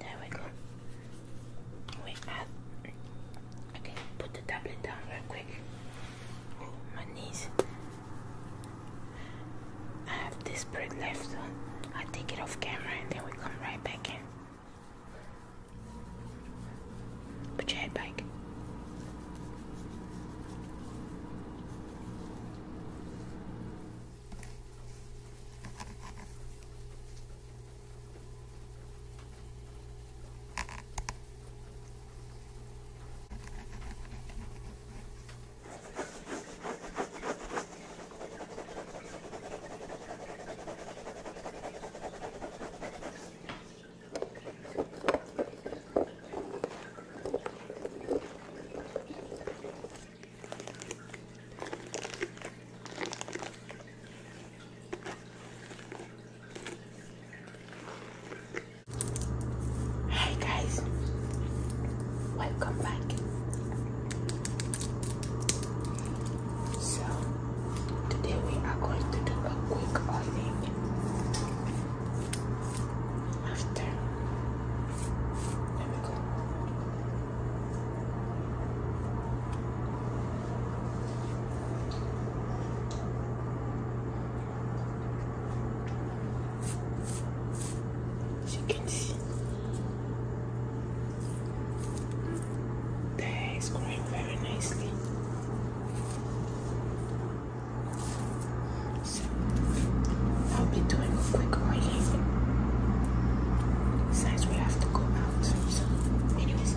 There we go. We add. Okay, put the tablet down real quick. Oh, my knees. I have this brick left, so I take it off camera and then we come right back in. Put your head back. Hi guys, welcome back. So today we are going to do a quick oiling after there we go. As you can see, the hair is growing very nicely. So I'll be doing a quick oiling. Besides, we have to go out. So, anyways.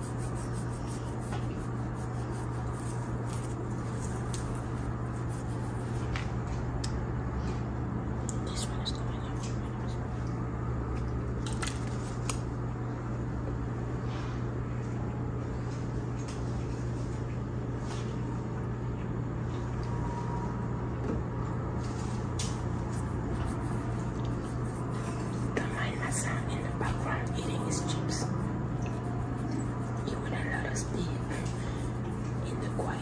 This one is going up two minutes. Don't mind my son in the background eating his chips. You will let us be in the quiet.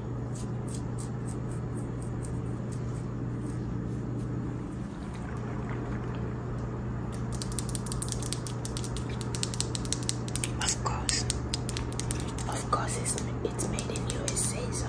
Of course, of course, it's it's made in USA, so.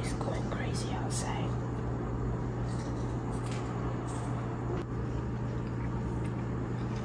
It's going crazy outside.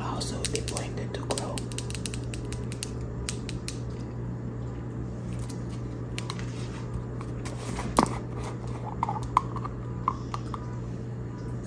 Also, they blended to grow.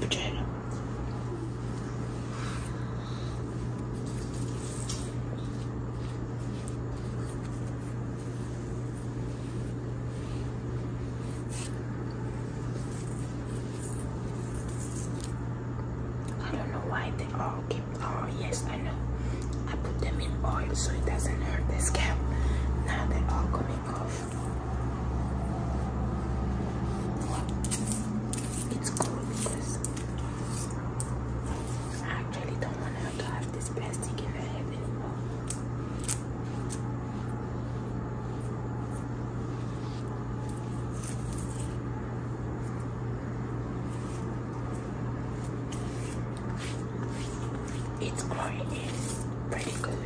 Vagina. I don't know why they all keep. Oh, yes, I know. I put them in oil so it doesn't hurt the scalp. Now they all coming off. It's cool because I really don't want her to have this plastic if I have anymore. It's growing in pretty good.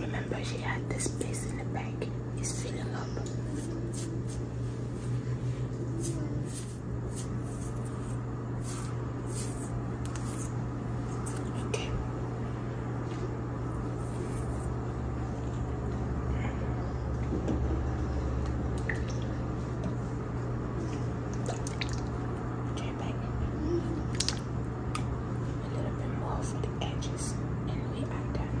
Remember she had this space in the back. It's filling up. Okay, Okay, back a little bit more for the edges, and we are done.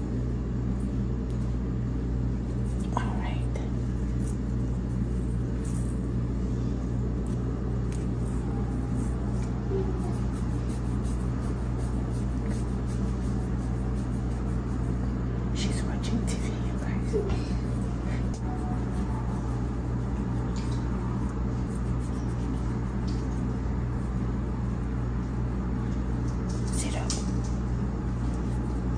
All right. She's watching TV, Sit up.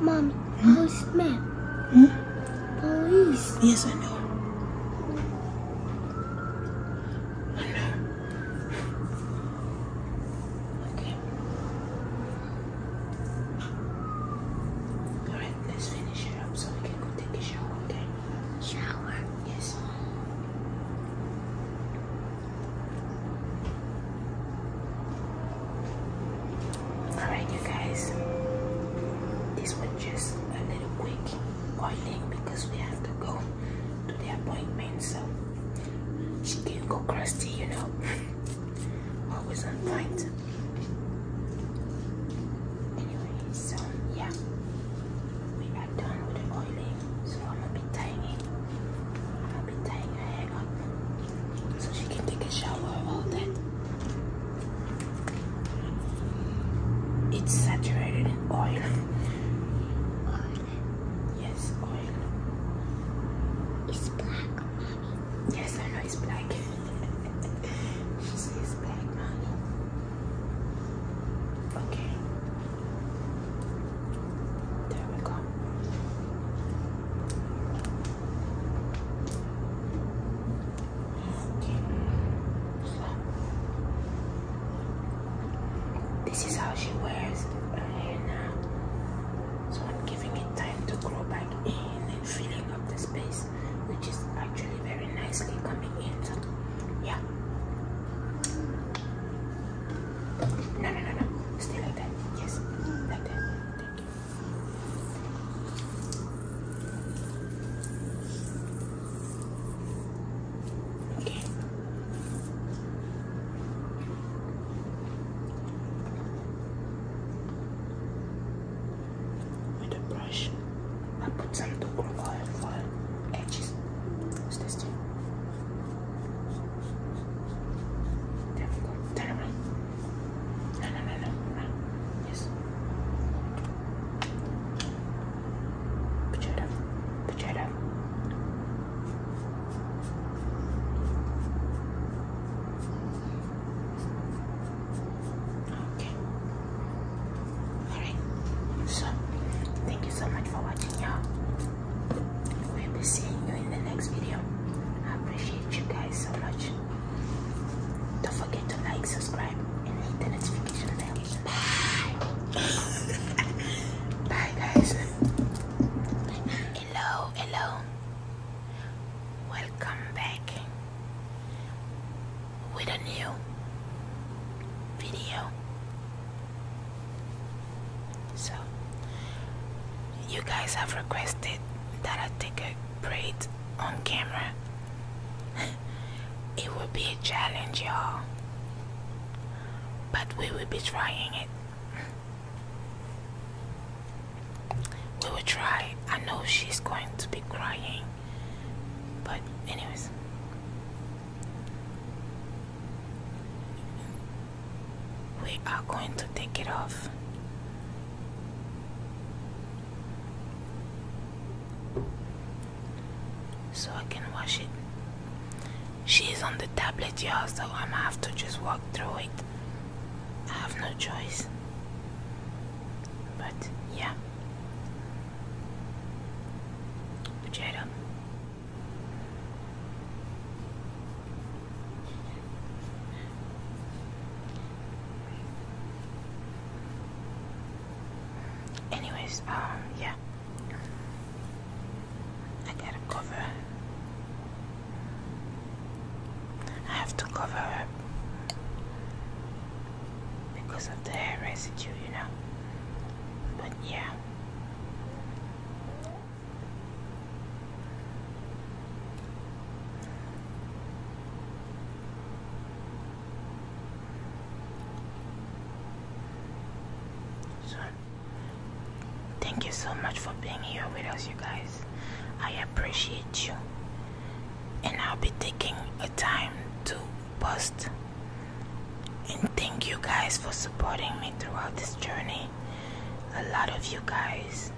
Mom, hmm? police man. Hmm? Police. Yes, I know. I know. Okay. All right, let's finish it up so we can go take a shower, okay? Shower? Yes. Alright, you guys, this was just a little quick oiling because we have to go to the appointment, so she can go crusty, you know. Always on point. Anyway, so yeah, we are done with the oiling, so I'm gonna be tying I'm be tying her hair up so she can take a shower all that. It's saturated in oil. Oil? Yes, oil. It's black, mommy. Yes, I know it's black. she says black, mommy. Okay. There we go. This is how she wears her hair now. So I'm giving it time to grow back in and filling up the space, which is actually very nicely coming in. So, yeah. No, no, no, no. Stay like that. Yes, like that. Thank you. With a brush, I put some dual oil for edges. What's this thing? There we Turn around. No, no, no, no, Yes. Potato. Potato. Okay. Alright. So, thank you so much for watching, y'all. We'll be seeing you in the next video. I appreciate you guys so much. Don't forget to like, subscribe, and hit the notification bell. Bye. Bye, guys. Hello, hello. Welcome back with a new video. So, you guys have requested that I take a break on camera. it will be a challenge, y'all. But we will be trying it. We will try. I know she's going to be crying. But, anyways we are going to take it off. So I can wash it. She's on the tablet, you so I'm gonna have to just walk through it. I have no choice. But yeah. Potato. Anyways, um, yeah. I gotta cover. I have to cover up because of the hair residue, you know. But yeah. So, thank you so much for being here with us, you guys. I appreciate you, and I'll be taking a time to post. And thank you guys for supporting me throughout this journey. A lot of you guys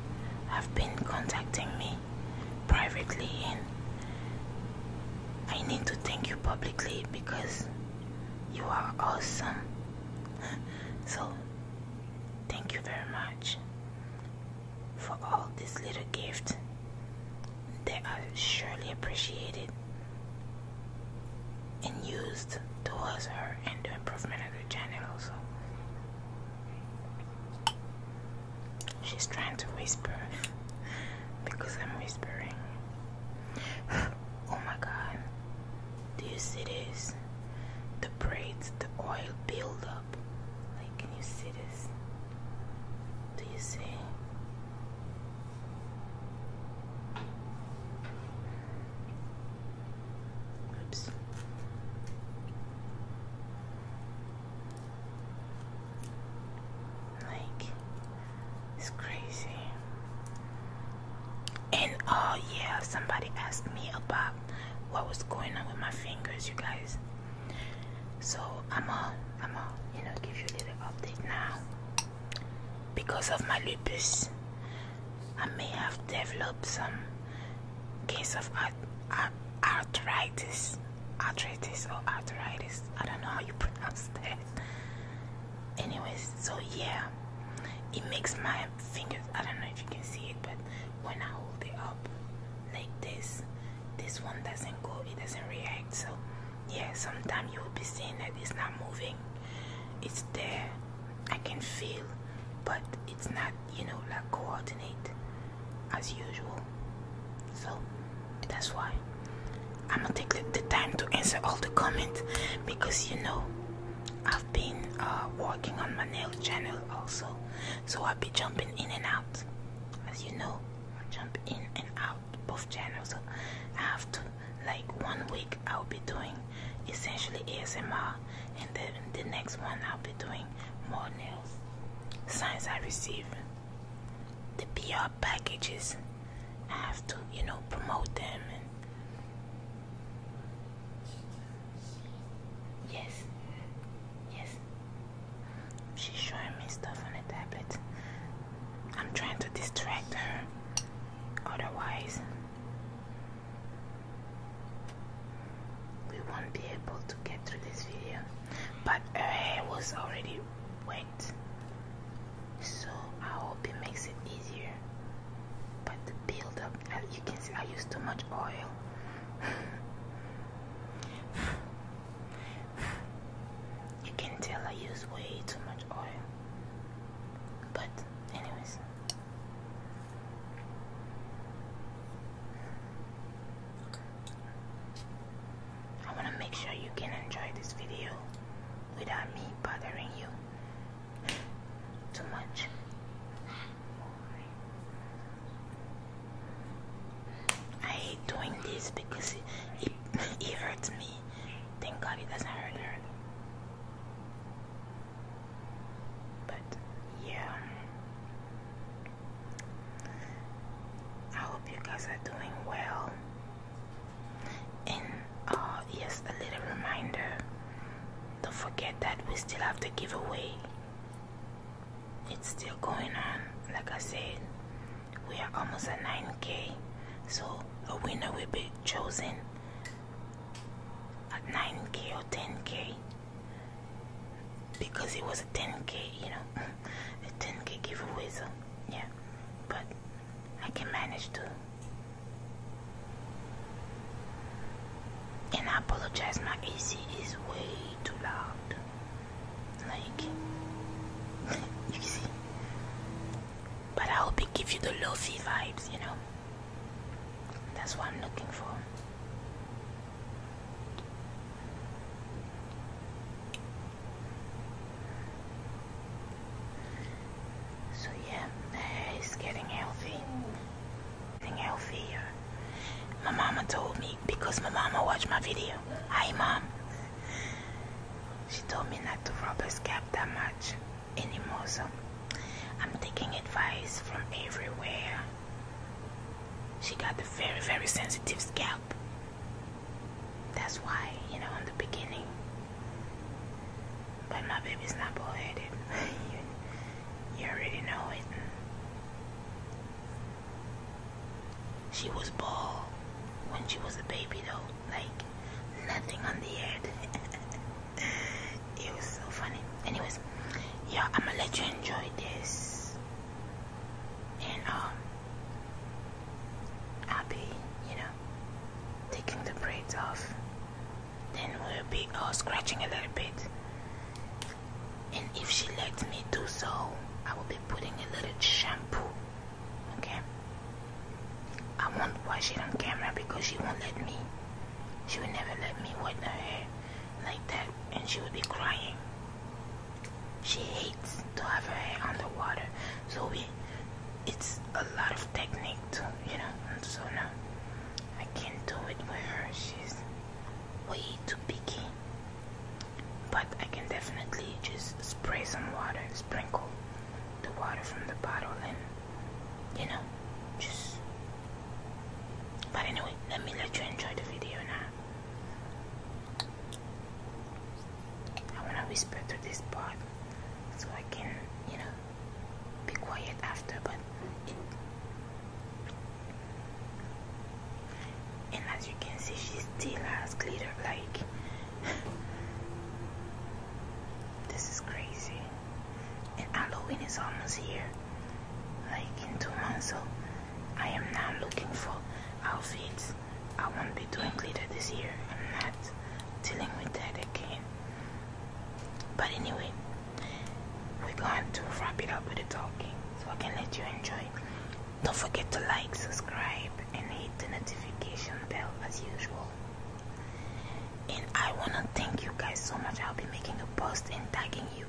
have been contacting me privately and I need to thank you publicly because you are awesome. so, thank you very much for all this little gift. that I surely appreciated and used towards her and the improvement of the channel also. She's trying to whisper because I'm whispering. oh my god, do you see this? The braids, the oil buildup. Like, can you see this? Do you see? Oops. Like it's crazy. And oh yeah, somebody asked me about what was going on with my fingers, you guys. So I'm a, I'm a, you know, give you a little update now. Because of my lupus, I may have developed some case of arthritis arthritis, arthritis or arthritis. I don't know how you pronounce that. Anyways, so yeah, it makes my fingers. I don't know if you can see it, but when I hold it up like this, this one doesn't go. It doesn't react. So yeah, sometimes you will be seeing that it's not moving. It's there. I can feel, but it's not. You know, like coordinate as usual. So that's why I'm gonna take the, time to answer all the comments because you know I've been uh, working on my nail channel also, so I'll be jumping in and out. As you know, I jump in and out both channels. So I like one week I'll be doing essentially ASMR, and then the next one I'll be doing more news. Signs I receive the PR packages. I have to, you know, promote them and yes, yes. She's showing me stuff on the tablet. I'm trying to distract her. Otherwise, we won't be able to get through this video but her hair was already wet so I hope it makes it easier but the build up you can see I used too much oil you can tell I use way too much oil but anyways I want to make sure you can enjoy this video without me bothering you too much. I hate doing this because it, hurts me. Thank God it doesn't hurt her. But yeah, I hope you guys are doing well. And uh, yes, a little reminder don't forget that we still have the giveaway, it's still going on. Like I said, we are almost at 9k, so a winner will be chosen at 9k or 10k because it was a 10k, you know, a 10k giveaway, so yeah, but I can manage to. And I apologize, my AC is way too loud. Like, you see. But I hope it gives you the lofi vibes, you know. That's what I'm looking for. So yeah, it's getting healthy, getting healthier. My mama told me because my mama watched my video. Hi, mom. She told me not to rub her scalp that much anymore, so I'm taking advice from everywhere. She got the very, very sensitive scalp. That's why, you know, in the beginning. But my baby's not bald headed. you, already know it. She was ball when she was a baby, though. Like, nothing on the head. it was so funny. Anyways, yeah, I'm gonna let you enjoy this, and um, I'll be, you know, taking the braids off. Then we'll be uh, scratching a little bit, and if she lets me do so, I will be putting a little shampoo. Okay, I won't wash it on camera because she won't let me. She will never let me wet her hair like that and she would be crying. She hates to have her head underwater. So we it's a lot of technique to you know so now I can't do it with her. She's way too picky. But I can definitely just spray some water, sprinkle the water from the bottle and you know, just but anyway, let me let you enjoy the video now. I wanna whisper to this part so I can, you know, be quiet after. But and as you can see, she still has glitter like. This is crazy, and Halloween is almost here, like in two months. So I am now looking for outfits. I won't be doing glitter this year. I'm not dealing with that again. But anyway, we're going to wrap it up with the talking so I can let you enjoy. Don't forget to like, subscribe, and hit the notification bell as usual. And I wanna thank you guys so much. I'll be making a post and tagging you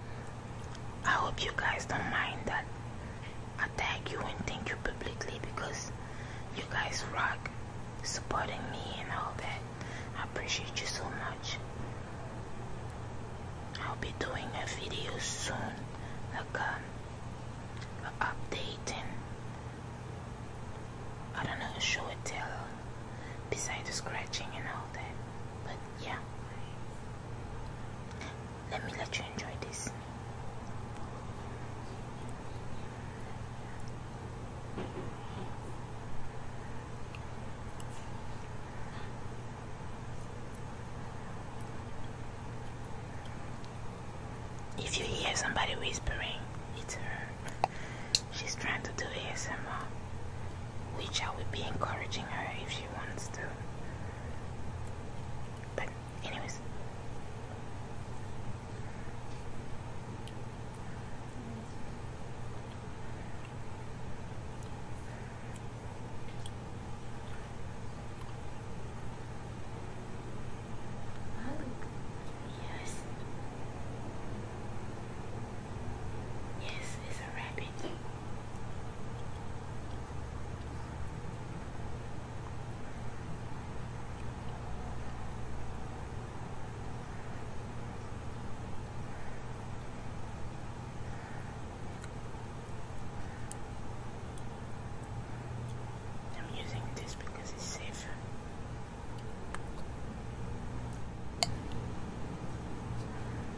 I hope you guys don't mind that I thank you and thank you publicly because you guys rock supporting me and all that. I appreciate you so much. I'll be doing a video soon, like um, an I don't know, show and tell, besides the scratching and all that. But yeah, let me let you enjoy this. If you hear somebody whispering, it's her. She's trying to do ASMR, which I will be encouraging her if she wants to. But, anyways. yes. Yes, it's a rabbit. I'm using this because it's safer.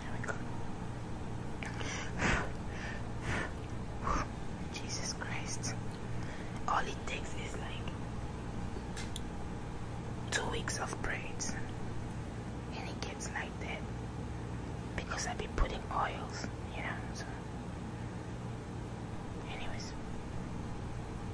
There we go. Jesus Christ. All it takes is like two weeks of braids and it gets like that because I've been putting oils, you know. anyways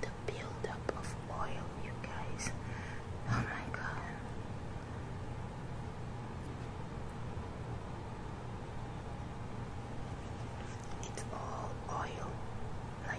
The buildup of oil, you guys. Oh my god. It's all oil, like.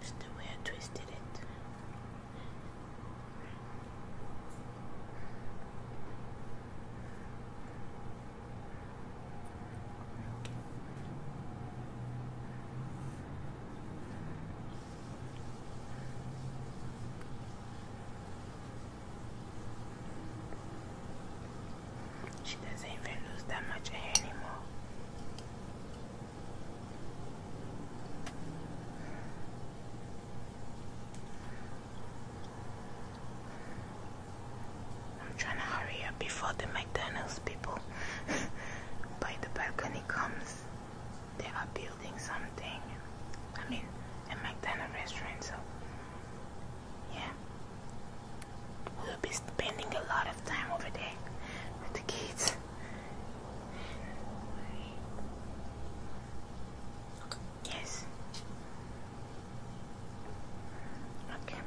Just the way I twisted it. She doesn't even lose that much hair anymore. I'm trying to hurry up before the McDonald's people by the balcony comes. They are building something. I mean, a McDonald's restaurant, so yeah. We'll be spending a lot of time over there with the kids. Yes. Okay.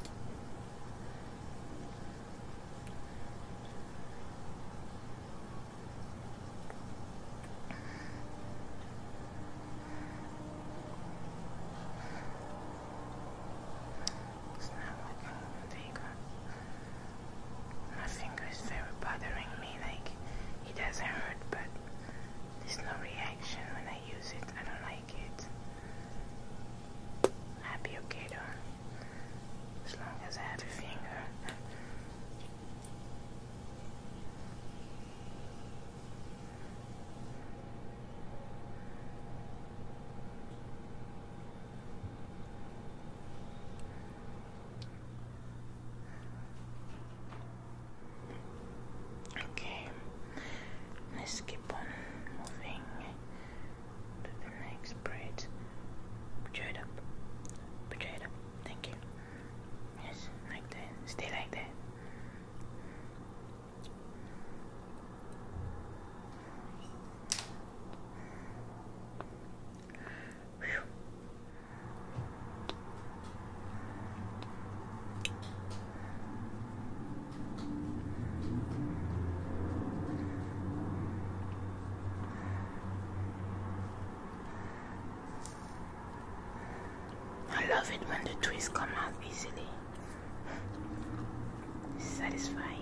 It's not looking very My finger is very bothering me, like it doesn't hurt, but there's no reaction when I use it. I don't like it. i okay though, as long as I have a finger. Okay, let's keep on moving to the next braid. Put it up, put it up. Thank you. Yes, like that. Stay like that. I love it when the twists come out easily satisfying.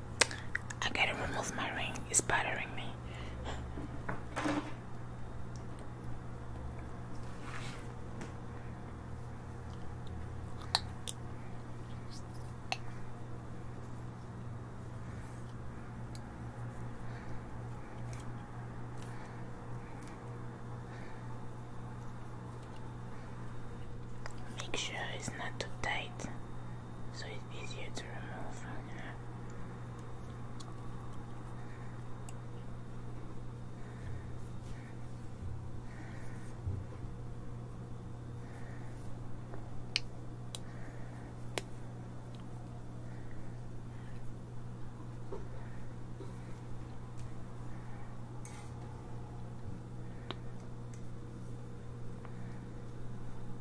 I gotta remove my ring, it's bothering me. Make sure it's not too tight so it's easier to remove from the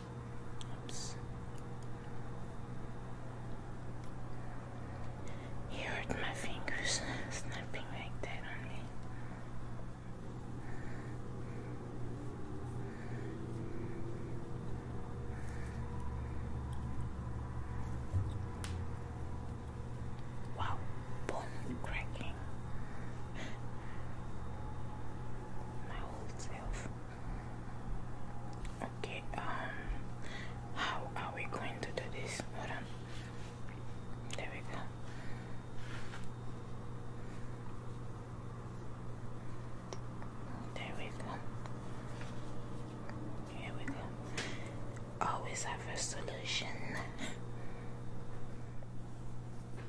Oops. You my fingers snapping like that on me. Wow, bone cracking. My whole self. Okay, um how are we going to do this? Hold on. There we go. There we go. Here we go. Always have a solution.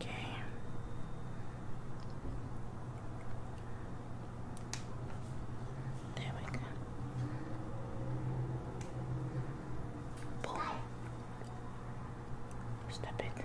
Okay. There we go. Boom. Step it.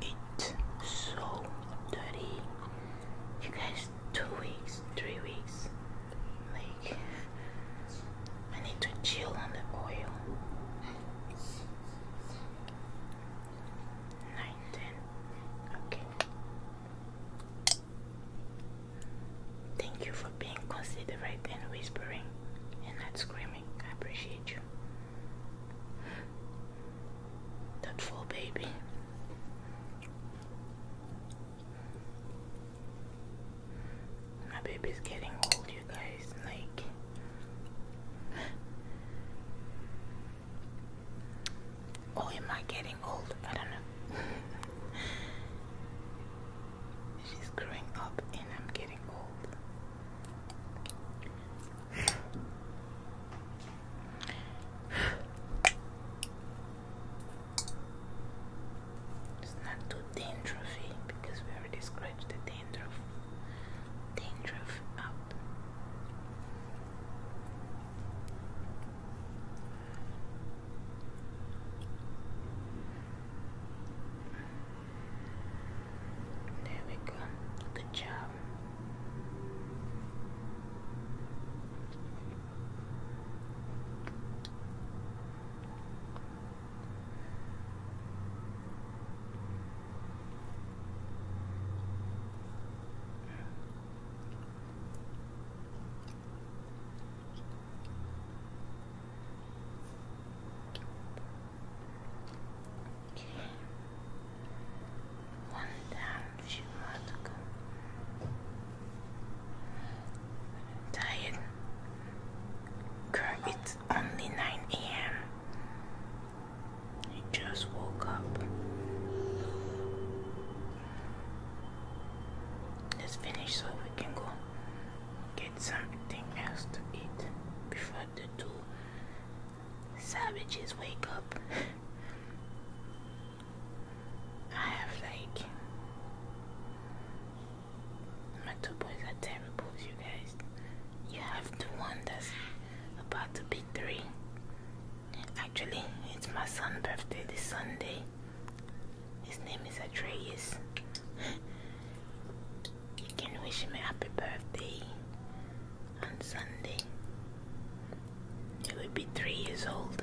It's so dirty. You guys, two weeks, three weeks. Like, I need to chill on the oil. Nine, ten. Okay. Thank you for being considerate and whispering and not screaming. I appreciate you. That full baby. My baby's getting old, you guys. Like, oh, am I getting old? I don't know. She's growing up, and I'm getting old. It's not too dandruffy eh? because we already scratched the dandruff, dandruff out. There we go. Good job. One down, she must go. Tired? Girl, it's only 9 a.m. I just woke up. Let's finish so we can go get something else to eat before the two Savages wake up. I have like my two boys are terrible, you guys. You have the one that's about to be three. Actually, it's my son's birthday this Sunday. His name is Atreus. You can wish me happy birthday on Sunday. He will be three years old.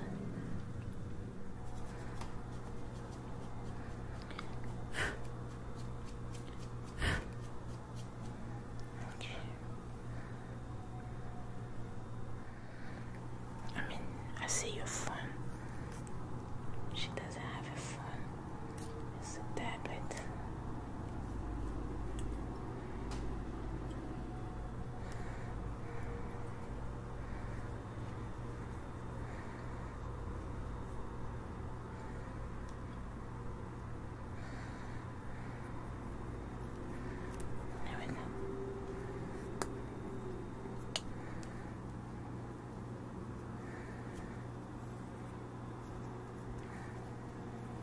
okay. I mean, I see your phone. She doesn't have a phone. Just a tad There we go.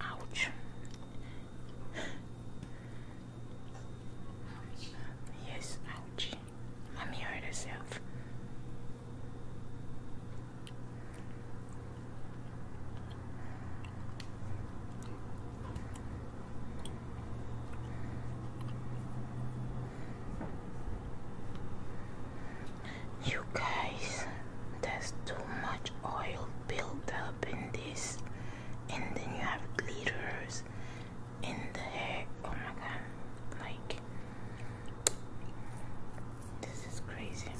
Ouch. Yes, ouch. Mommy hurt herself. You guys, there's too much oil built up in this, and then you have glitters in the hair. Oh my god, like this is crazy.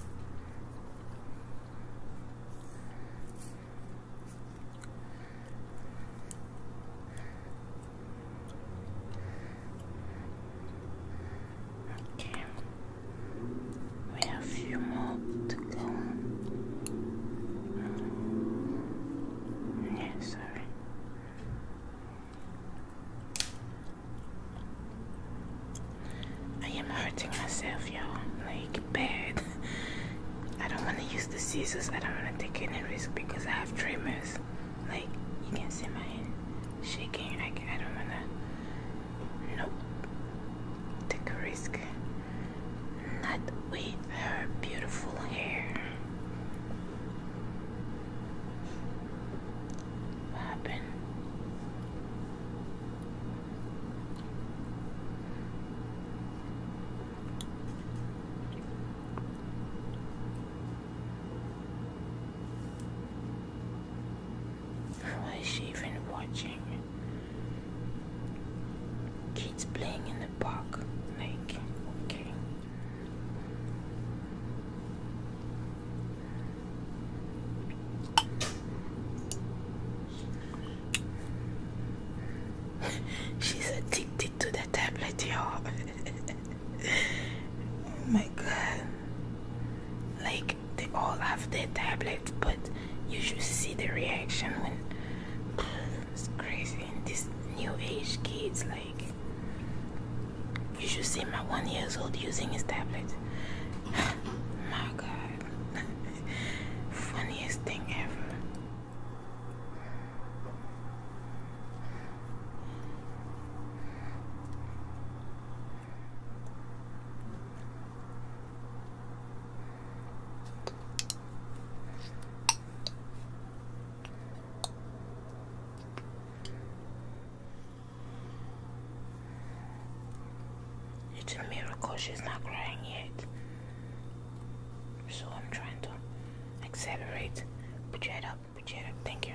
Okay. We have few more to go. Mm. Yeah, sorry. I am hurting myself, y'all. Like, bad. I don't want to use the scissors. I don't want to take any risk because I have tremors. Like, you can see my hand shaking. I, I don't want to Nope. Take a risk. Not with her beautiful hair. What happened? What is she even watching? Kids playing in the park. Like, okay. She's addicted to the tablet, y'all. oh my god. Like, they all have their tablets, but you should see the reaction when it's crazy. And these new age kids, like, you should see my one years old using his tablet. my God, funniest thing ever. It's a miracle she's not crying yet. So I'm trying to accelerate. Put your head up, put your head up, thank you.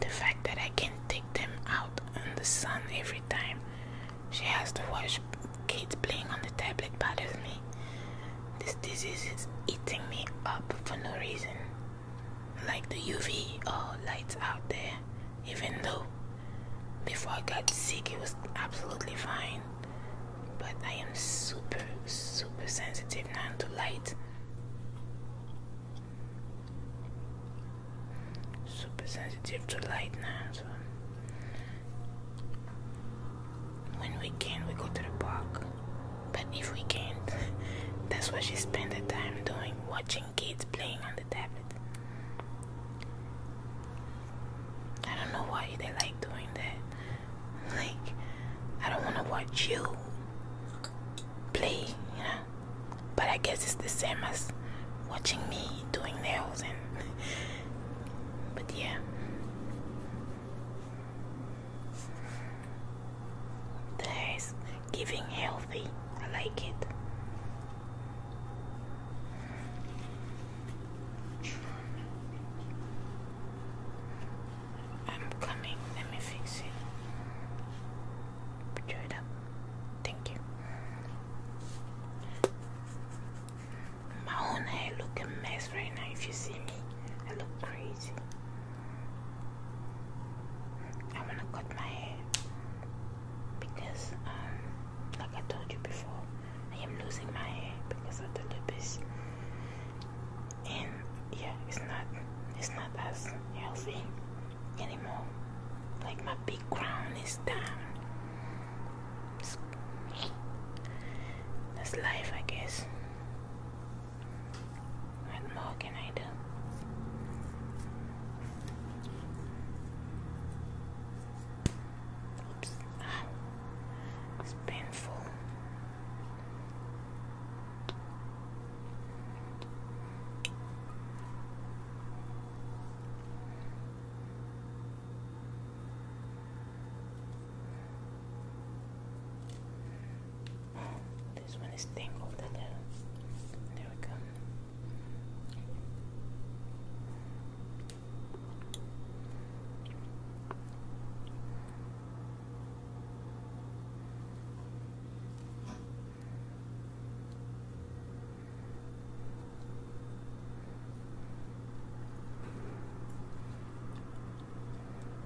The fact that I can take them out in the sun every time she has to watch kids playing on the tablet bothers me. This disease is eating me up for no reason like the UV uh, lights out there, even though before I got sick it was absolutely fine. But I am super, super sensitive now to light. Super sensitive to light now. So when we can, we go to the park. But if we can, not that's what she spends her time doing, watching kids playing on the tablet. I don't know why they like doing that. Like, I don't want to watch you play, you know. But I guess it's the same as watching me doing nails and. But yeah. There's giving healthy. I like it. I'm coming. Let me fix it. Put it up. Thank you. My own hair look mess right now. If you see me, I look crazy. I want to cut my hair because, um, like I told you before, I am losing my hair because of the lupus, and yeah, it's not, it's not as healthy anymore. Like my big crown is down. that's life, I guess. What more can I do? Oops. Ah, it's painful. This one is tangled a little. There we go.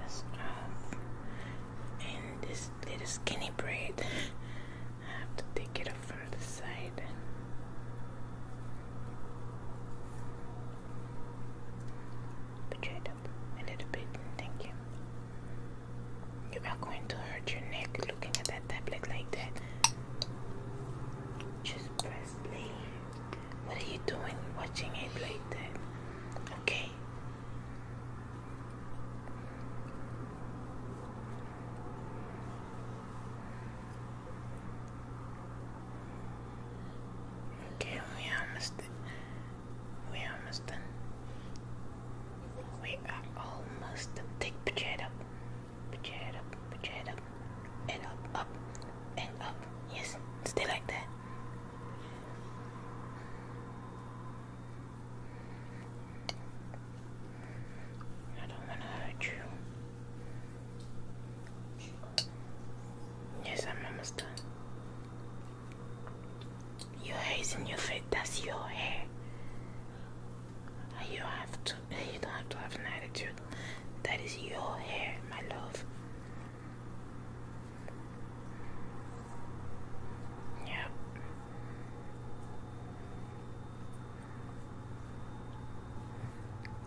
this And this little skinny braid, I have to take it off from the side. Put it up a little bit. Thank you. You are going to hurt your neck looking at that tablet like that. Just press play. What are you doing watching it like that? Okay. Okay, we almost done. We almost done. We are almost done. Take pitch head up. Pitch up. Pitch up. And up, up, and up. Yes, stay like that. I don't want to hurt you. Yes, I'm a done. Your hair is in your face. That's your hair. You have to. You don't have to have an attitude. That is your hair, my love. Yep.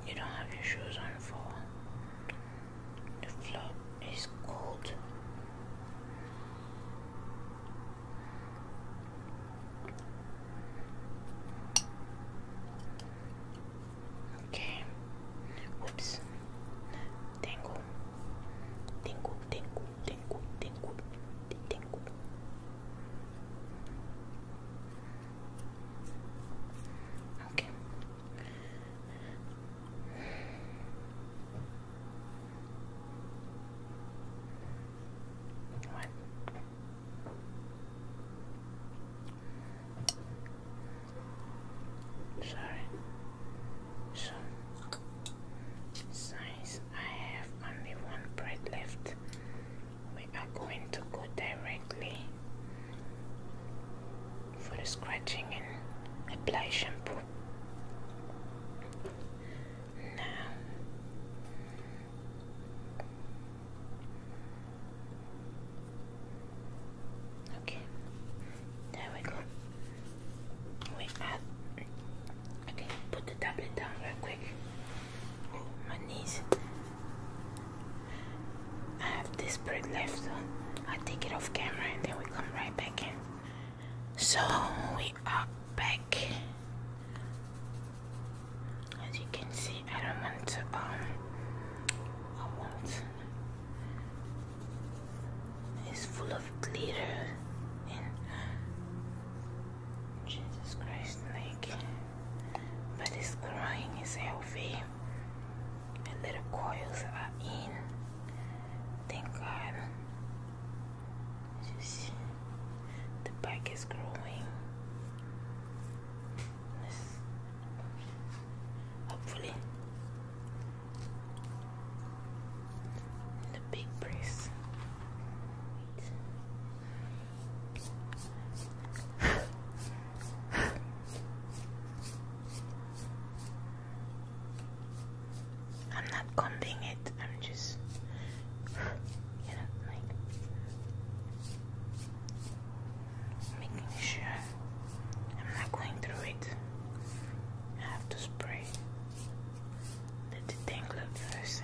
You don't have your shoes on for the floor is cold. Okay. Whoops. Tingle. Tingle, tingle, tingle, tingle, tingle. Okay. What? Sorry. Since I have only one bread left, we are going to go directly for the scratching and apply shampoo. Now, Okay, there we go. We add. Okay, put the tablet down real quick. Oh, my knees. I have this bread left, I take it off camera and then we come right back in. So we are back. As you can see, I don't want to um, is full of glitter and Jesus Christ, like, but it's crying, it's healthy, and little coils are in. Thank God. You see, the back is growing. hopefully, the big breeze. I'm not combing it, I'm just, you know, like making sure I'm not going through it. I have to spray the detangler first. So.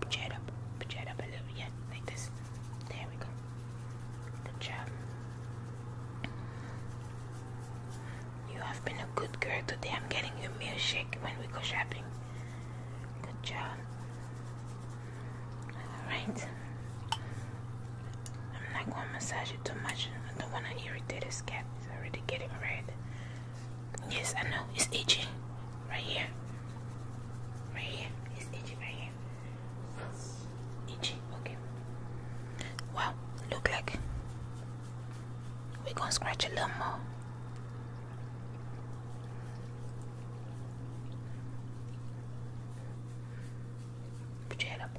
Pitch up, pitch up a little, yeah, like this. There we go. Good job. You have been a good girl today. I'm getting you a milkshake when we go shopping. Good job. Alright. I'm not going to massage it too much. I don't want to irritate his cat. It's already getting red. Yes, I know. It's itchy. Right here. Right here. It's itchy right here. Itchy. Okay. Wow. Look like we're going to scratch a little more. Put your up.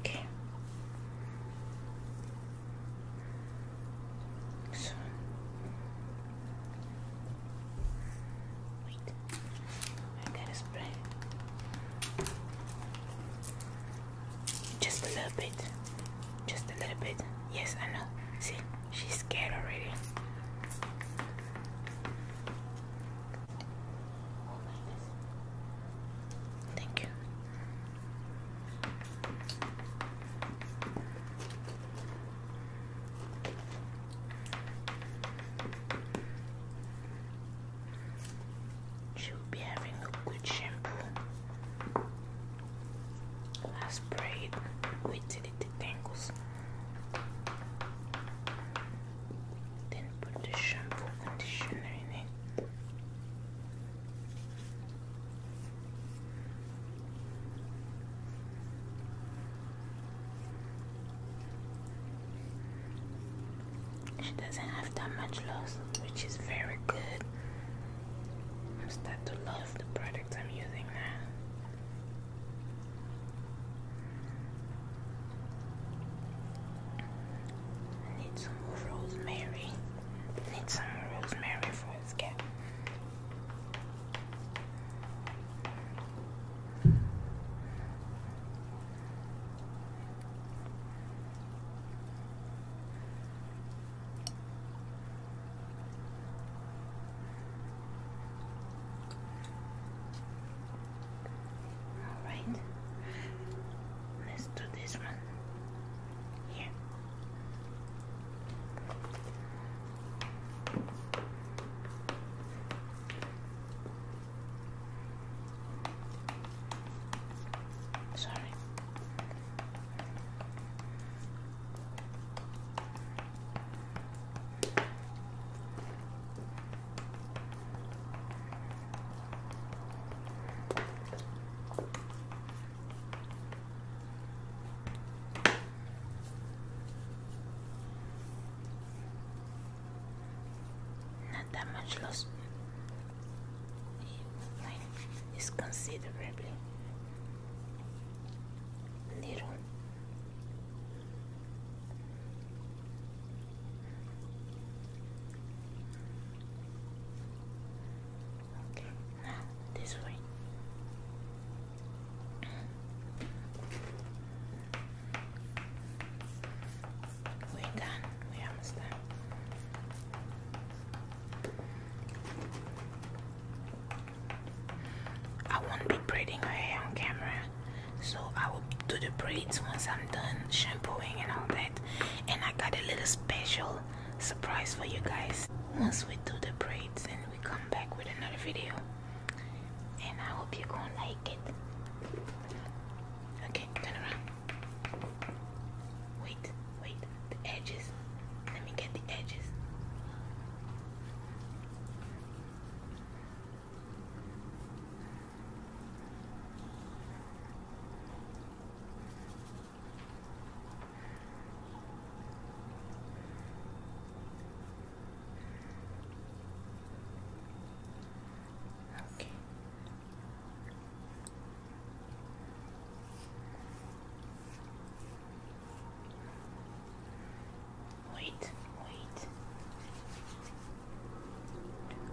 Okay. So. Wait. I gotta spray. Just a little bit. Just a little bit. Yes, I know. See, she's scared already. Thank you. she be having a good shampoo. I spray it, wait detangles. Then put the shampoo conditioner in it. She doesn't have that much loss, which is very good. I'm starting to love the product I'm using now. I need some rosemary. I need some rosemary for this guy. Alright, let's do this one here. Sorry. Not that much loss is considerably little. Okay, now this way. We're done, we almost done. I won't be braiding her hair on camera, so I will do the braids once I'm done shampooing and all that and I got a little special surprise for you guys once we do the braids and we come back with another video and I hope you're gonna like it okay turn around wait wait the edges let me get the edges Okay. Wait, wait.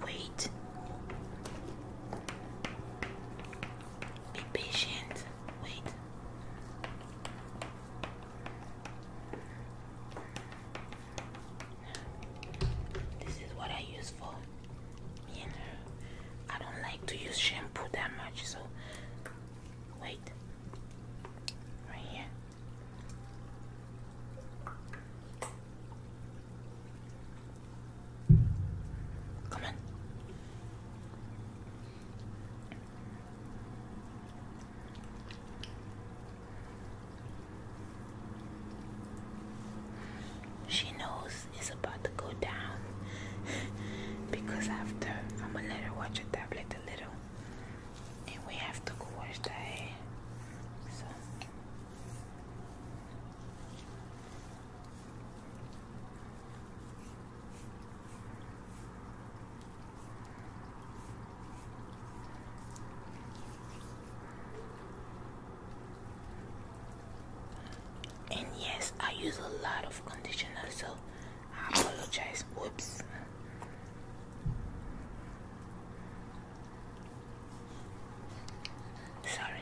Wait. Be patient. Wait. This is what I use for me and her. I don't like to use shampoo that much, so wait. Right here. Come in. She knows it's about to go down because after I'm gonna let her watch her tablet a little and we have to go wash the hair. So and yes, I use a lot of conditioner, so I apologize. Whoops. Sorry.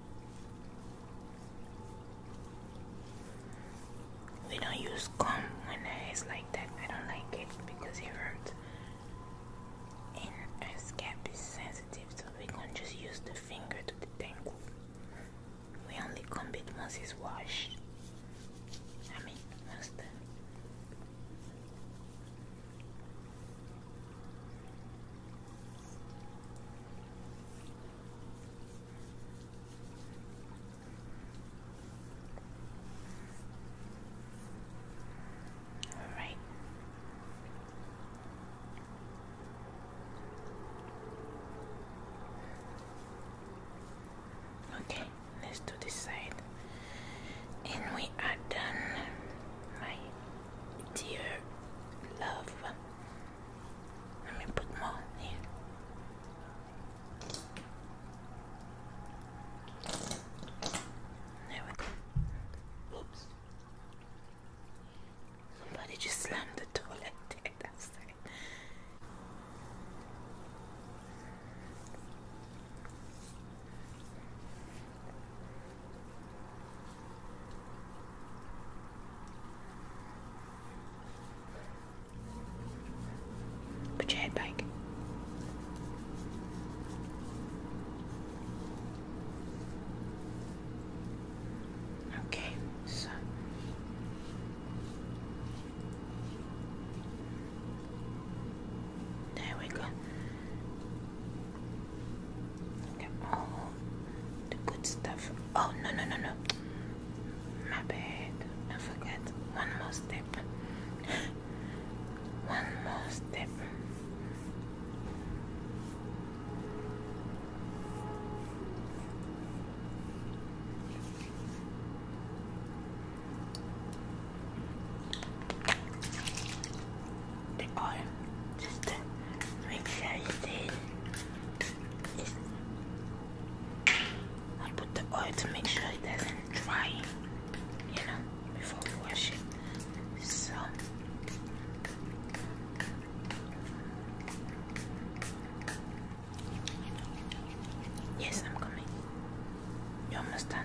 We don't use gum when it's like that. I don't like it because it hurts. And our scalp is sensitive, so we can just use the finger to detangle. We only comb it once it's washed. I mean, once the all right. Okay, let's do this side, and we are done. Right. Dear love. Let me put more here. There we go. Oops. Somebody just slammed the door Put your head back. Okay, so there we go. Look all the good stuff. Oh, no, no, no, no. My bad. I forget. One more step. One more step the oil make sure you I put the oil to make sure it doesn't dry you know before we wash it so Yes, I'm coming. You almost done.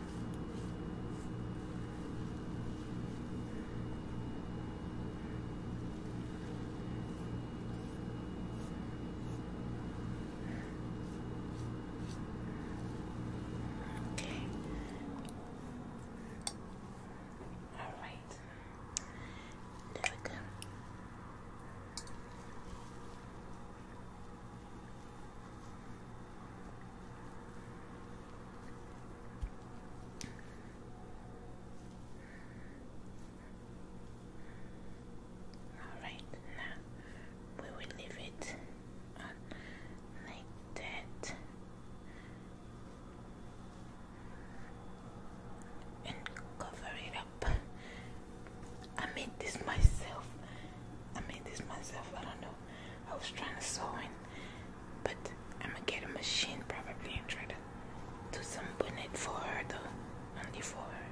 Okay. All right. There we go. Alright, now we will leave it like that and cover it up. I made this myself. I made this myself. I don't know I was trying to sew in, but I'm gonna get a machine probably and try to do some bonnet for her though, only for her.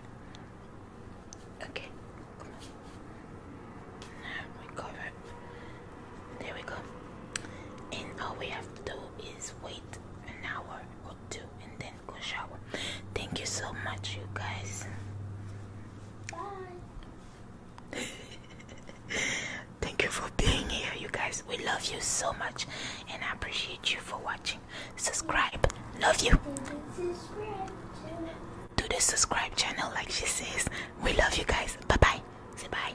Okay, come on. Now we cover. There we go. And all we have to do is wait an hour or two and then go shower. Thank you so much, you guys. Bye. Thank you for being here, you guys. We love you so much, and I appreciate you for watching. Subscribe, love you. Do the subscribe channel, like she says. We love you guys. Bye bye. Say bye.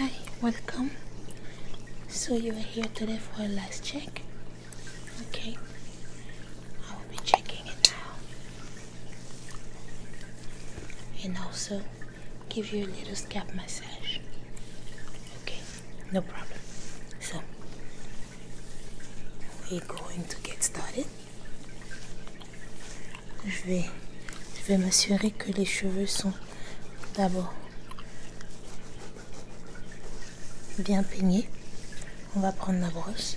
Hi, welcome. So you are here today for a last check. Ok, I will be checking it now. and also give you a little massage. Okay, no problem. So, we're going to get started. Je je vais m'assurer que les cheveux sont d'abord bien peigné. On va prendre la brosse.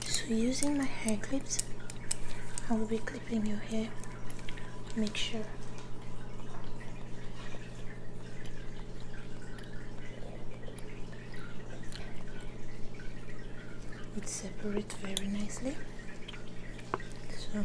So using my hair clips, I will be clipping your hair make sure. It separates very nicely. So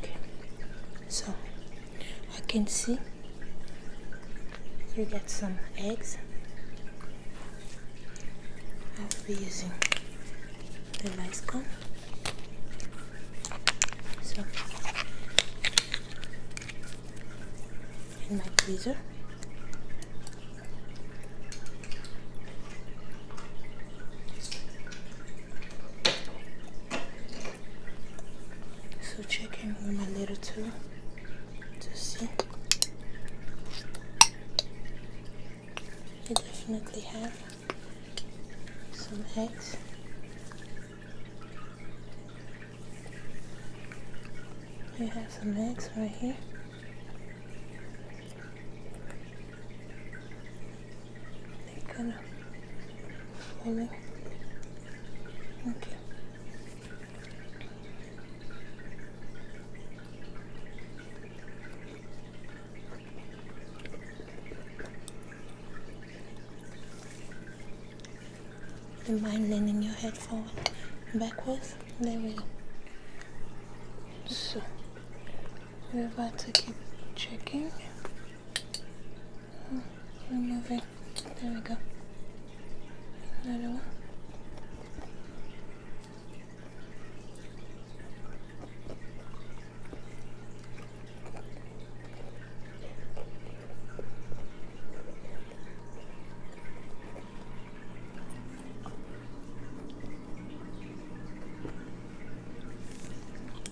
okay so I can see you get some eggs I'll be using the cone. so in my freezer so checking with my little tool to see. I definitely have some eggs. You have some eggs right here. Nicola. Holy. Okay. And mind leaning your head forward backwards. There we go. So we have got to keep checking. Oh, remove it. There we go. Another one.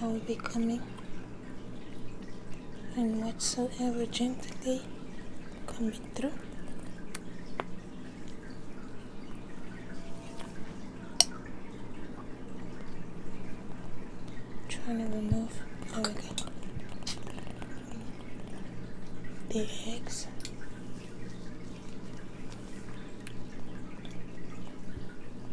I will be coming, and whatsoever gently coming through. Trying to remove, the eggs.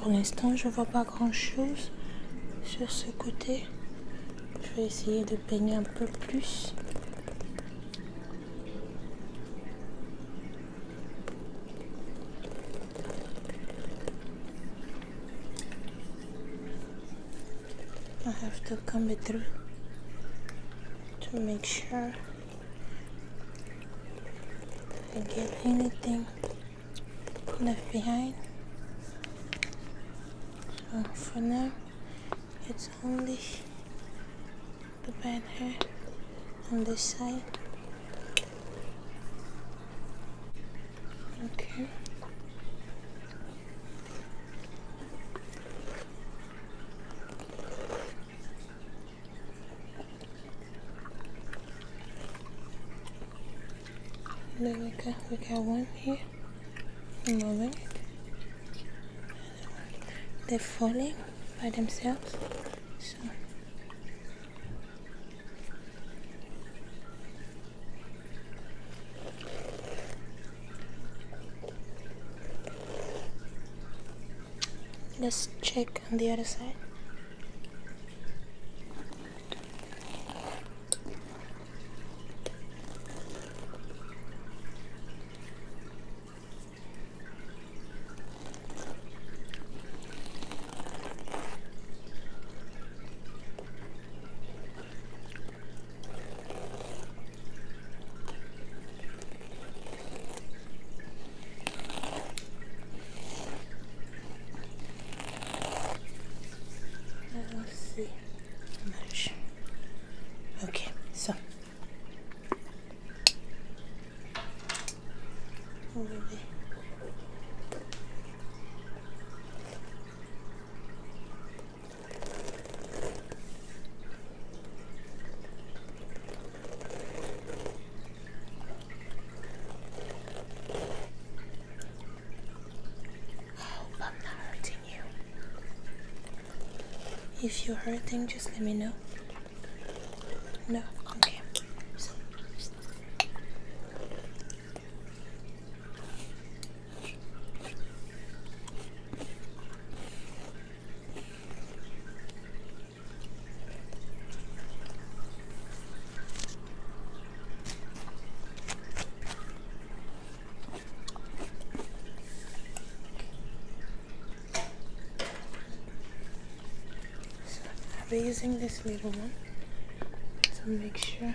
pour l'instant, je vois pas grand chose sur ce côté. Je vais essayer de peigner un peu plus. I have to comb it through to make sure I get anything left behind. So for now, it's only the bad hair on this side. Okay. And we got, one here, moving it. They're falling by themselves. Let's check on the other side. Let's see. Much. Okay, so over Hope I'm not hurting you. If you're hurting, just let me know. No, okay. So I'll be using this little one to make sure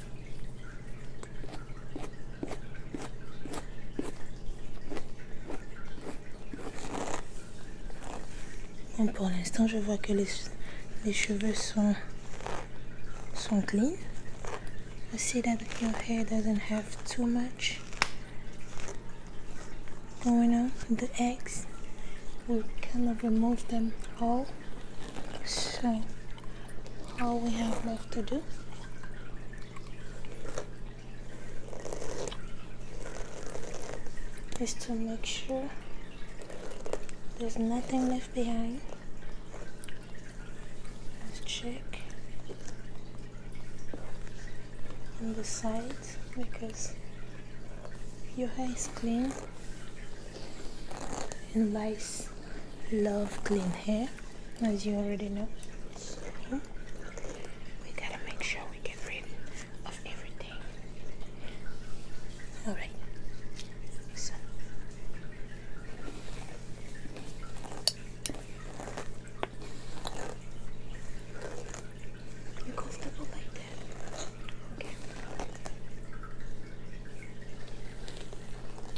Bon, pour l'instant, je I see that your hair doesn't have too much going on. The eggs, we kind remove them all so all we have left to do is to make sure there's nothing left behind let's check on the sides because your hair is clean and nice love clean hair as you already know we gotta make sure we get rid of everything all right so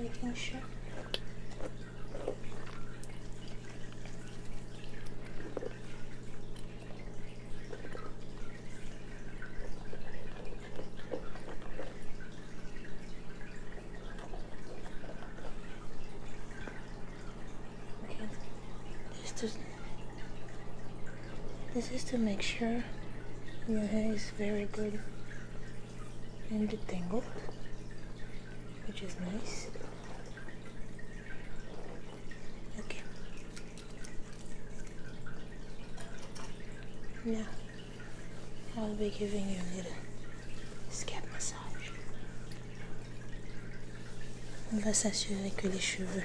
Making sure. Okay. This is to make sure your hair is very good and detangled, which is nice. Okay. Now I'll be giving you a little scalp massage. On va s'assurer que les cheveux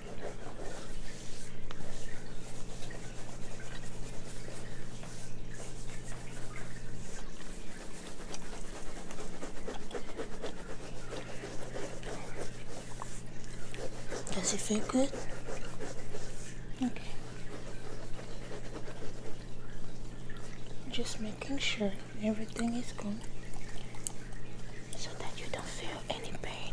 Does it feel good? Okay. Just making sure everything is good so that you don't feel any pain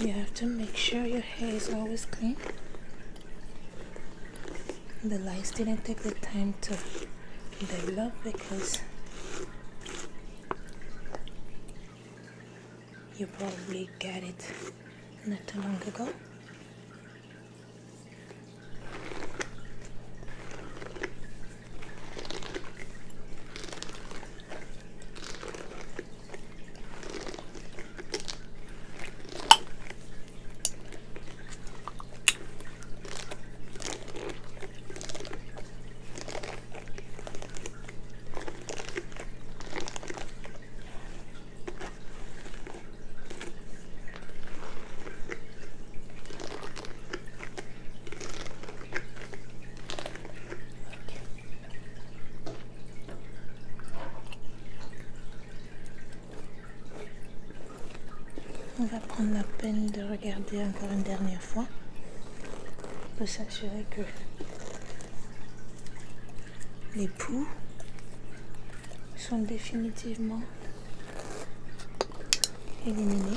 You have to make sure your hair is always clean. The lights didn't take the time to develop because you probably get it not too long ago. On va prendre la peine de regarder encore une dernière on peut s'assurer que les poux sont définitivement éliminés.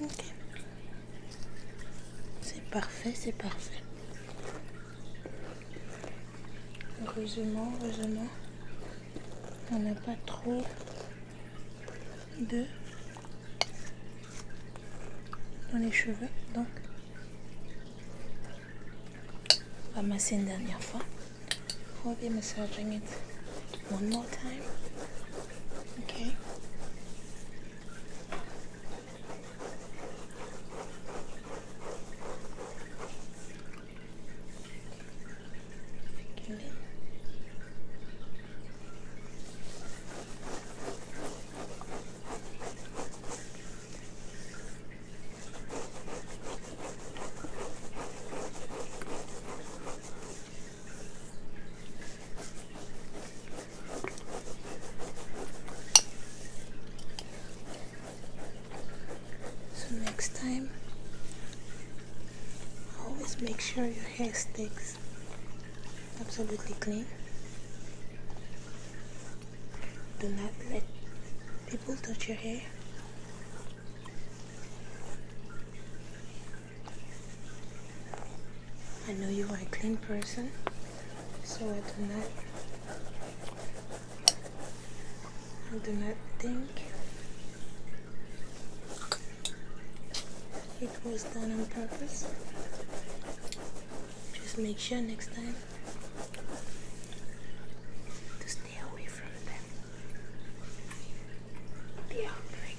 Ok. C'est parfait, c'est parfait. Heureusement, heureusement, on n'a pas trop de dans les cheveux, donc One machine done your foot. We'll be massaging it one more time. Okay. So next time, always make sure your hair sticks absolutely clean. Do not let people touch your hair. I know you are a clean person, so I do not I do not think it was done on purpose. Just make sure next time to stay away from them. The outbreak.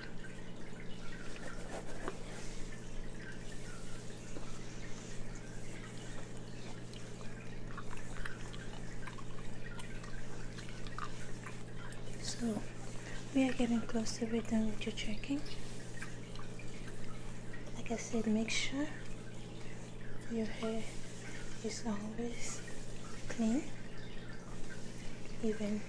So we are getting close to be done with your checking. Like I said, make sure your hair is always clean, even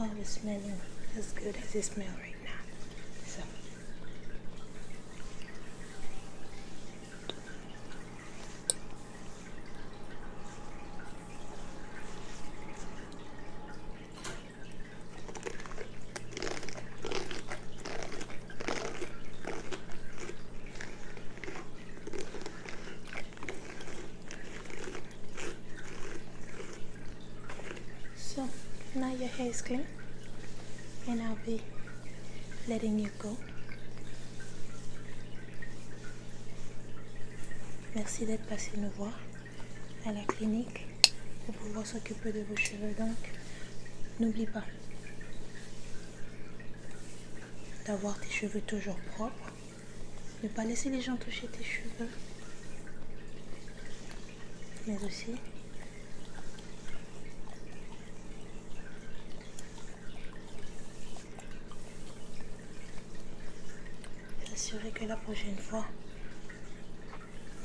always smelling as good as it smells right now. So. So now your hair is clean and I'll be letting you go. Merci d'être passé nous voir à la clinique pour pouvoir s'occuper de vos cheveux. Donc, n'oublie pas d'avoir tes cheveux toujours propres ne pas laisser les gens toucher tes cheveux. Mais aussi. S'assurer que la prochaine fois,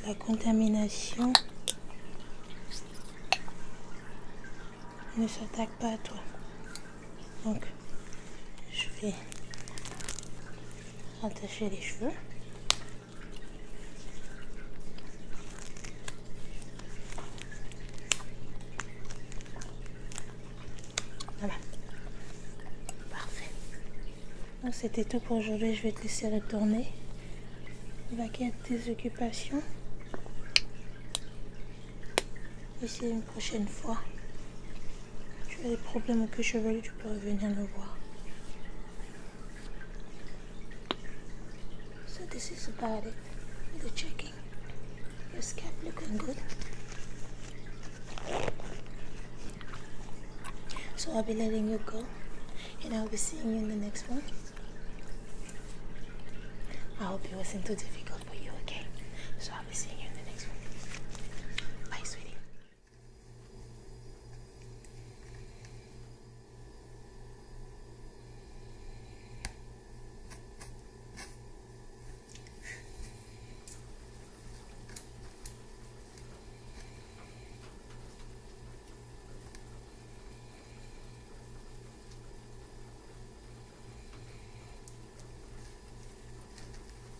la contamination ne s'attaque pas à toi donc je vais attacher les cheveux voilà parfait donc c'était tout pour aujourd'hui je vais te laisser retourner y quitter tes occupations et c'est une prochaine fois Tu as des problèmes au queue chevelu, tu peux revenir me voir. So this is about it. The checking. This scalp looking good. So I'll be letting you go. And I'll be seeing you in the next one. I hope it wasn't too difficult for you, okay? I'll see you in the next one. Bye, sweetie.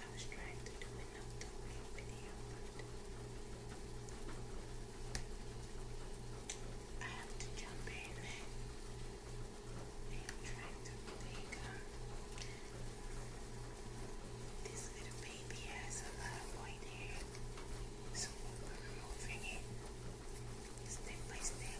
I was trying to do another video, but I have to jump in. I am trying to make this little baby has a lot of white hair, so we're removing it step by step.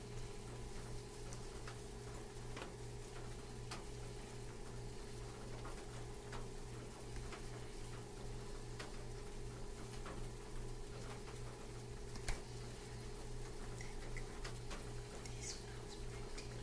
This smells pretty long.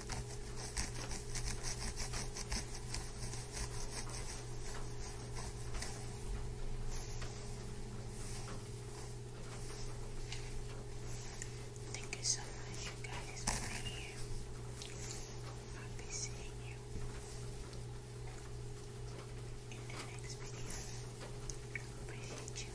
Thank you so much, you guys, for being here. I'll be seeing you in the next video. Appreciate you.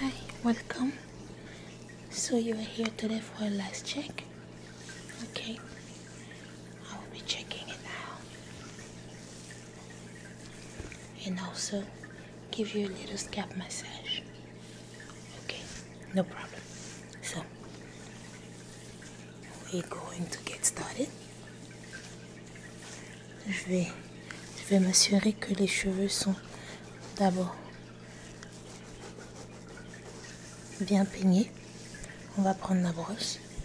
Hi, welcome. So you are here today for a last check. Ok, I will be checking it out and also give you a little scalp massage. Okay, no problem. So, we're going to get started. Je vais, je vais m'assurer que les cheveux sont d'abord bien peignés. On va prendre la brosse.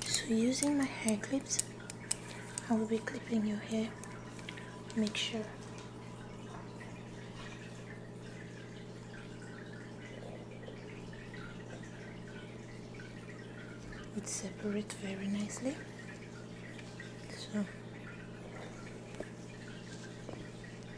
So using my hair clips, I will be clipping your hair, make sure. It separates very nicely. So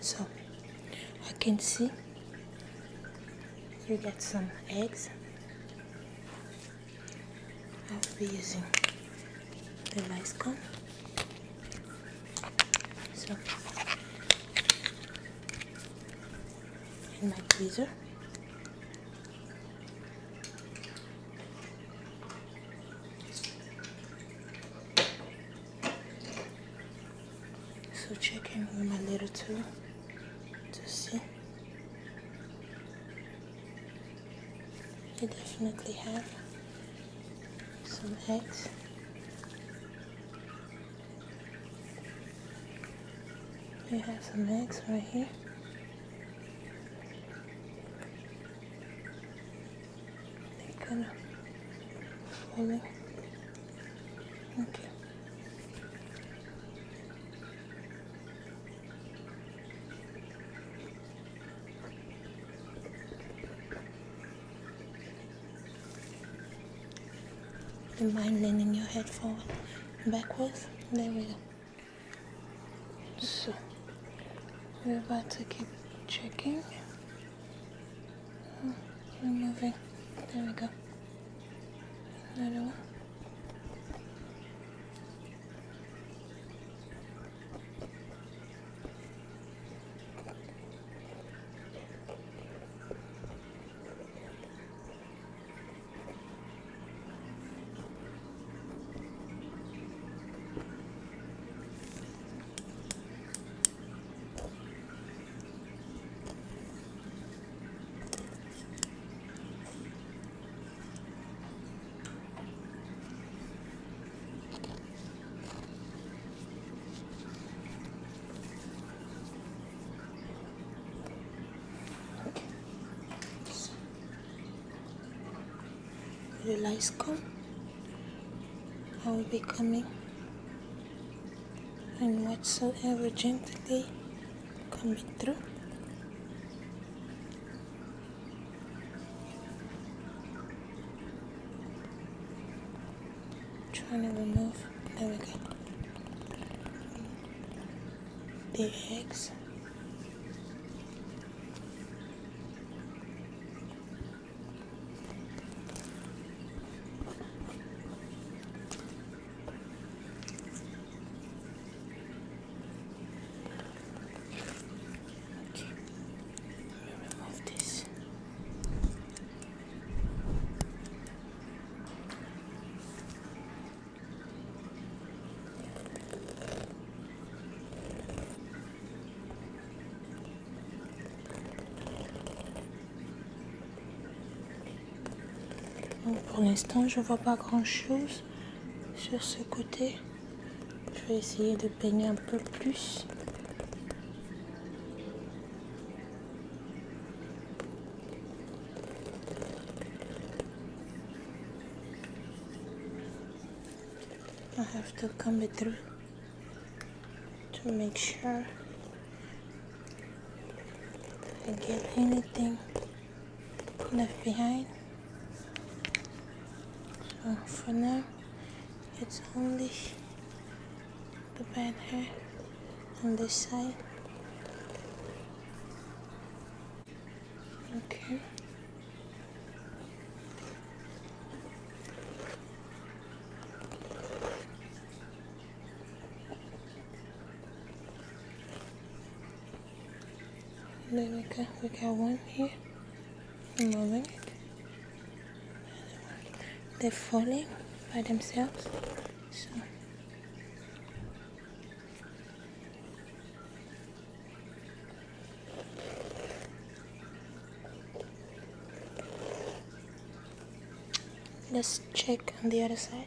so I can see you get some eggs I will be using the rice cone so my tweezers. So checking with my little tool to see. You definitely have some eggs. You have some eggs right here. They're gonna Okay. Don't mind leaning your head forward, backwards. There we go. So we're about to keep checking. Oh, you're moving. There we go. Another one the come I will be coming and whatsoever gently coming through. Trying to remove, there we go, the eggs. Okay, we remove this. pour l'instant, je vois pas grand-chose sur ce côté. Je vais essayer de peigner un peu plus. to make sure I get anything left behind. So for now, it's only the bad hair on this side. Okay. And then we got, we got one here, moving it. They're falling by themselves, Let's check on the other side.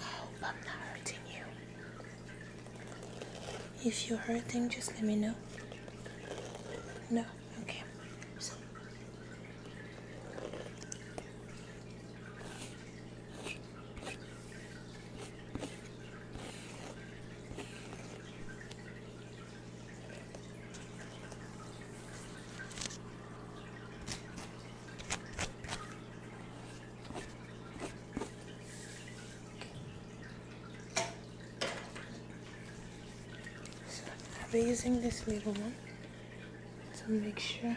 hope I'm not hurting you. If you're hurting, just let me know. No, okay. So I'll be using this little one to make sure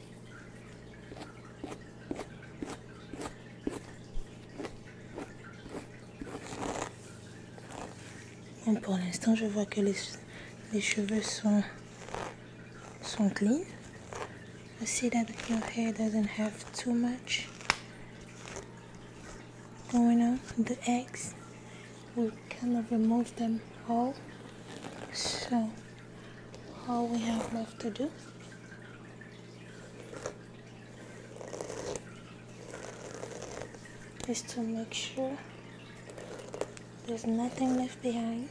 Bon, pour l'instant, je I see that the hair doesn't have too much going on. The eggs, we kind of remove them all. So, all we have left to do just to make sure there's nothing left behind.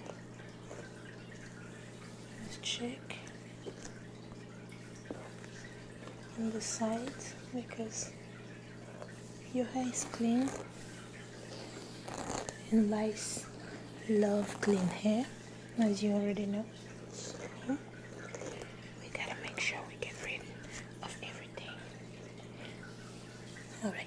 Let's check on the sides because your hair is clean and lice love clean hair as you already know. we gotta make sure we get rid of everything. Alright.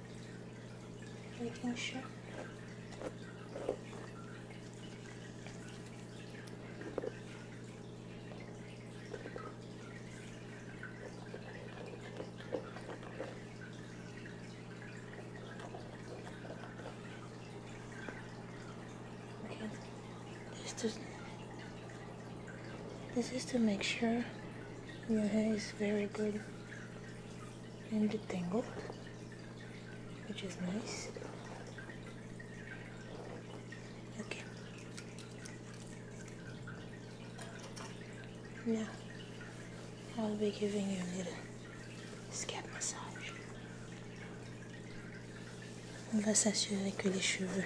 making sure. This is to make sure your hair is very good and it detangled, which is nice. Okay. Now, I'll be giving you a little scalp massage. On va s'assurer que les cheveux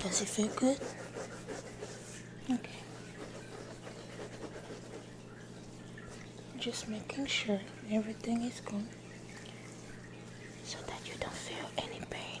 Does it feel good? Okay. Just making sure everything is good so that you don't feel any pain.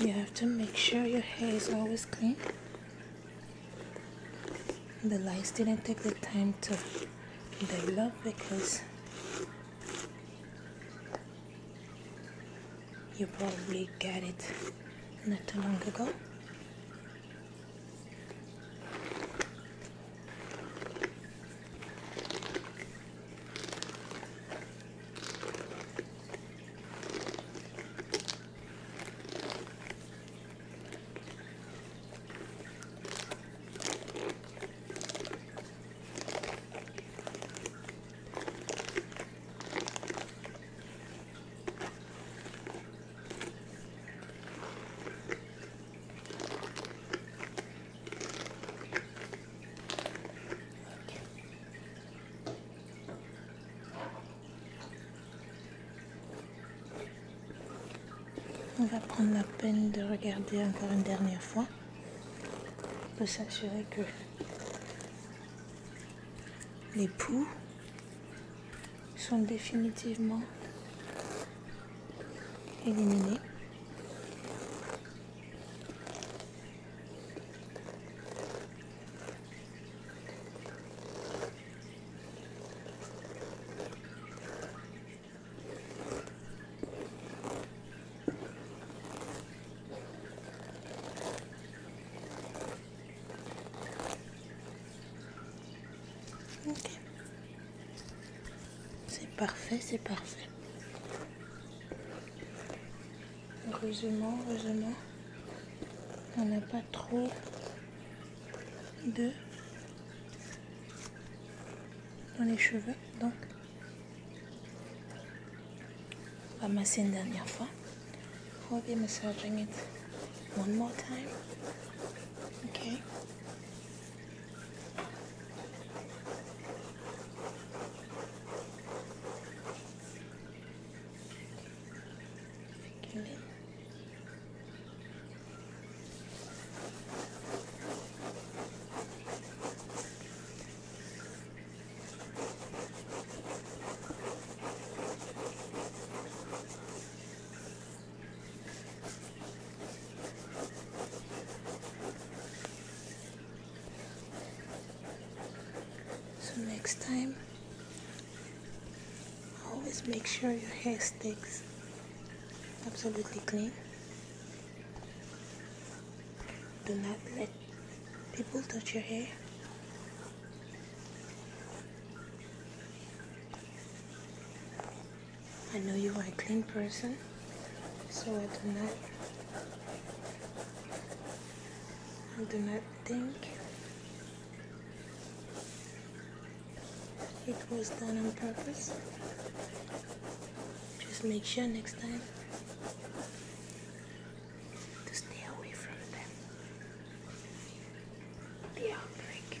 You have to make sure your hair is always clean. The lights didn't take the time to develop because you probably get it not too long ago. On va prendre la peine de regarder encore une dernière fois pour s'assurer que les poux sont définitivement éliminés. Ok. C'est parfait, c'est parfait. Heureusement, heureusement, on n'a pas trop de dans les cheveux. Donc, on va masser une dernière fois. I'll be massaging it one more time. Okay. So next time, always make sure your hair sticks absolutely clean. Do not let people touch your hair. I know you are a clean person, so I do not I do not think it was done on purpose. Just make sure next time to stay away from them. The outbreak.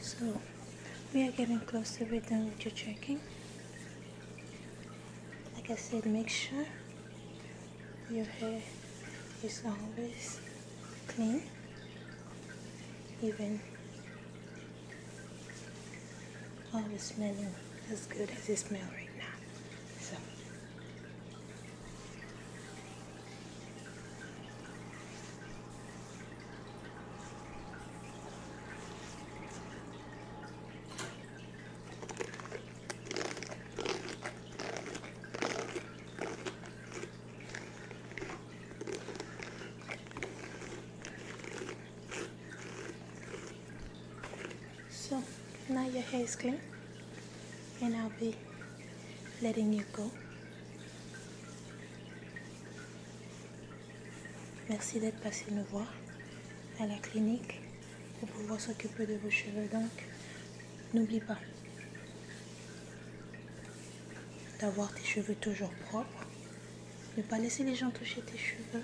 So, we are getting close to be done with your checking. Like I said, make sure your hair is always clean, even Oh, Always smelling as good as it smells right now. So. So now your hair is clean and I'll be letting you go. Merci d'être passé nous voir à la clinique pour pouvoir s'occuper de vos cheveux. Donc, n'oublie pas d'avoir tes cheveux toujours propres. Ne pas laisser les gens toucher tes cheveux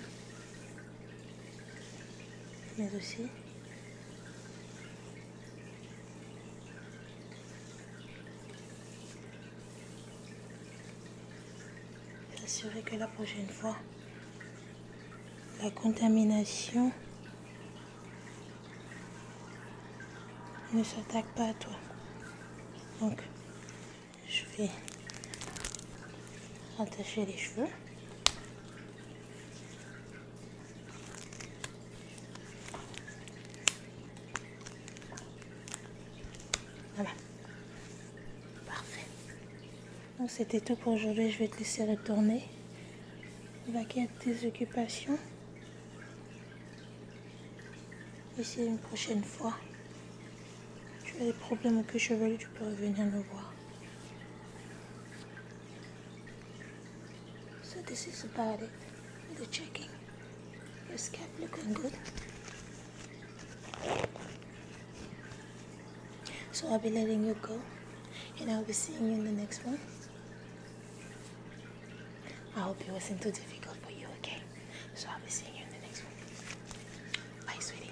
mais aussi s'assurer que la prochaine fois, la contamination ne s'attaque pas à toi. Donc, je vais attacher les cheveux. Voilà. Parfait. c'était tout pour aujourd'hui. Je vais te laisser retourner. Vaquer quête des occupations. Et c'est une prochaine fois. Tu as des problèmes au queue chevelu, tu peux revenir me voir. So this is about it. The checking. Your scalp looking good. So I'll be letting you go. And I'll be seeing you in the next one. I hope it wasn't too difficult for you, okay? So I'll be seeing you in the next one. Bye, sweetie.